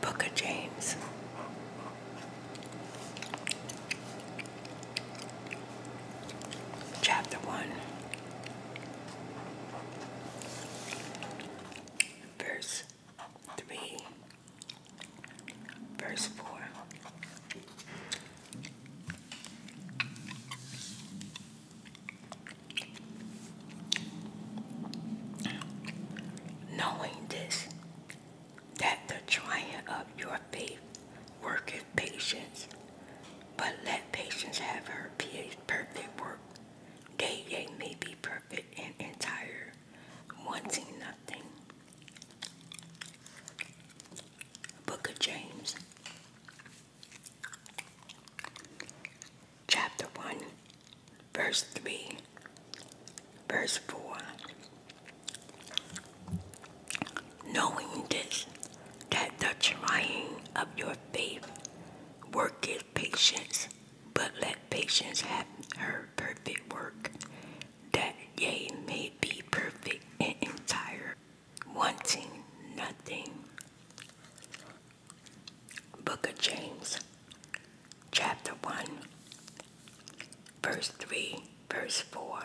Book of James. Chapter 1, verse 3, verse 4. Knowing this, that the trying of your faith worketh patience, but let patience have her perfect work, that ye may be perfect and entire, wanting nothing. Book of James, chapter 1, verse 3, verse 4. Knowing this, that the trying of your faith worketh patience but let patience have her perfect work, that ye may be perfect and entire, wanting nothing. Book of James, chapter 1, verse 3, verse 4.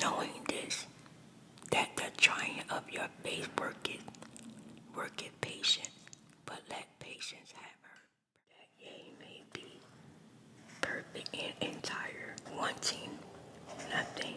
Knowing this, that the trying of your faith worketh, worketh patience, but let patience have her that ye may be perfect and entire, wanting nothing.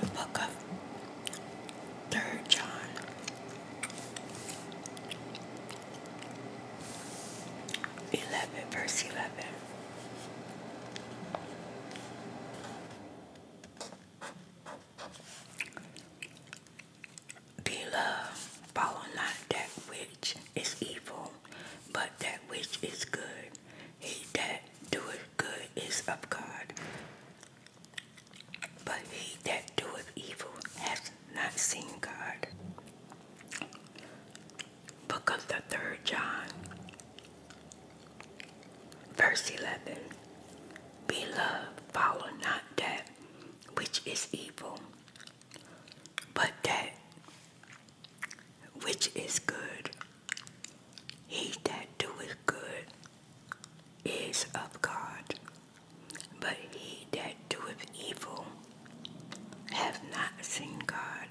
The book of Third John. 11, verse 11. Beloved, follow not that which is evil, but that which is good. He that doeth good is of God, but he that doeth evil hath not seen God. Book of the third John, verse 11. Beloved, follow not that which is evil, but that which is good. He that doeth good is of God, but he that doeth evil hath not seen God.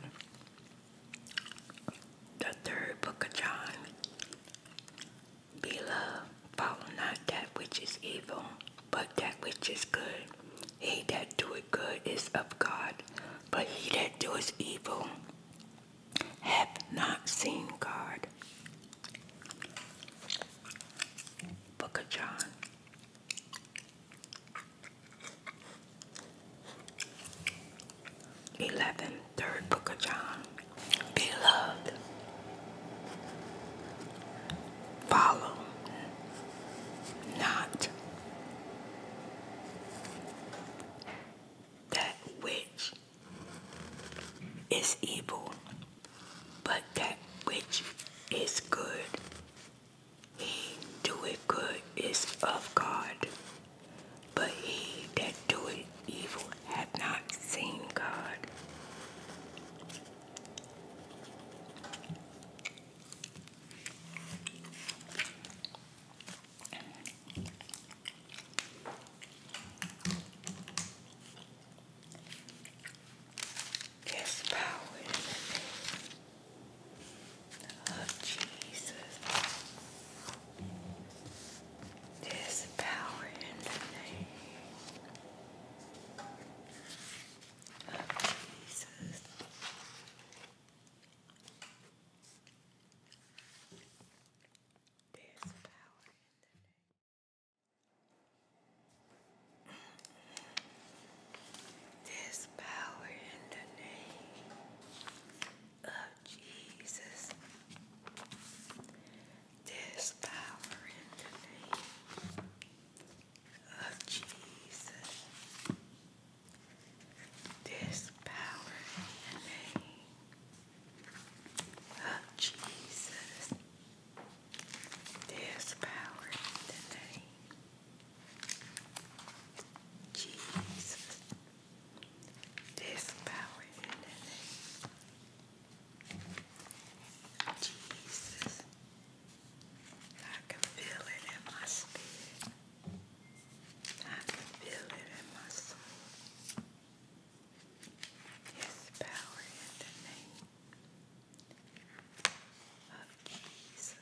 The third book of John. Beloved, follow not that which is evil, but that which is good. He that doeth good is of God, but he that doeth evil hath not seen God. Book of John. Eleven, third book of John. Beloved. Follow not that which is evil, but that which is good, he doeth good is of God. But he that doeth evil hath not seen God. There's power in the name of Jesus. There's power in the name of Jesus. There's power in the name. There's power in the name of Jesus. There's power in the name of Jesus. There's power in the name of Jesus. There's power in the name. Jesus. There's power in the name. Jesus. I can feel it in my spirit. I can feel it in my soul. His power in the name of keys.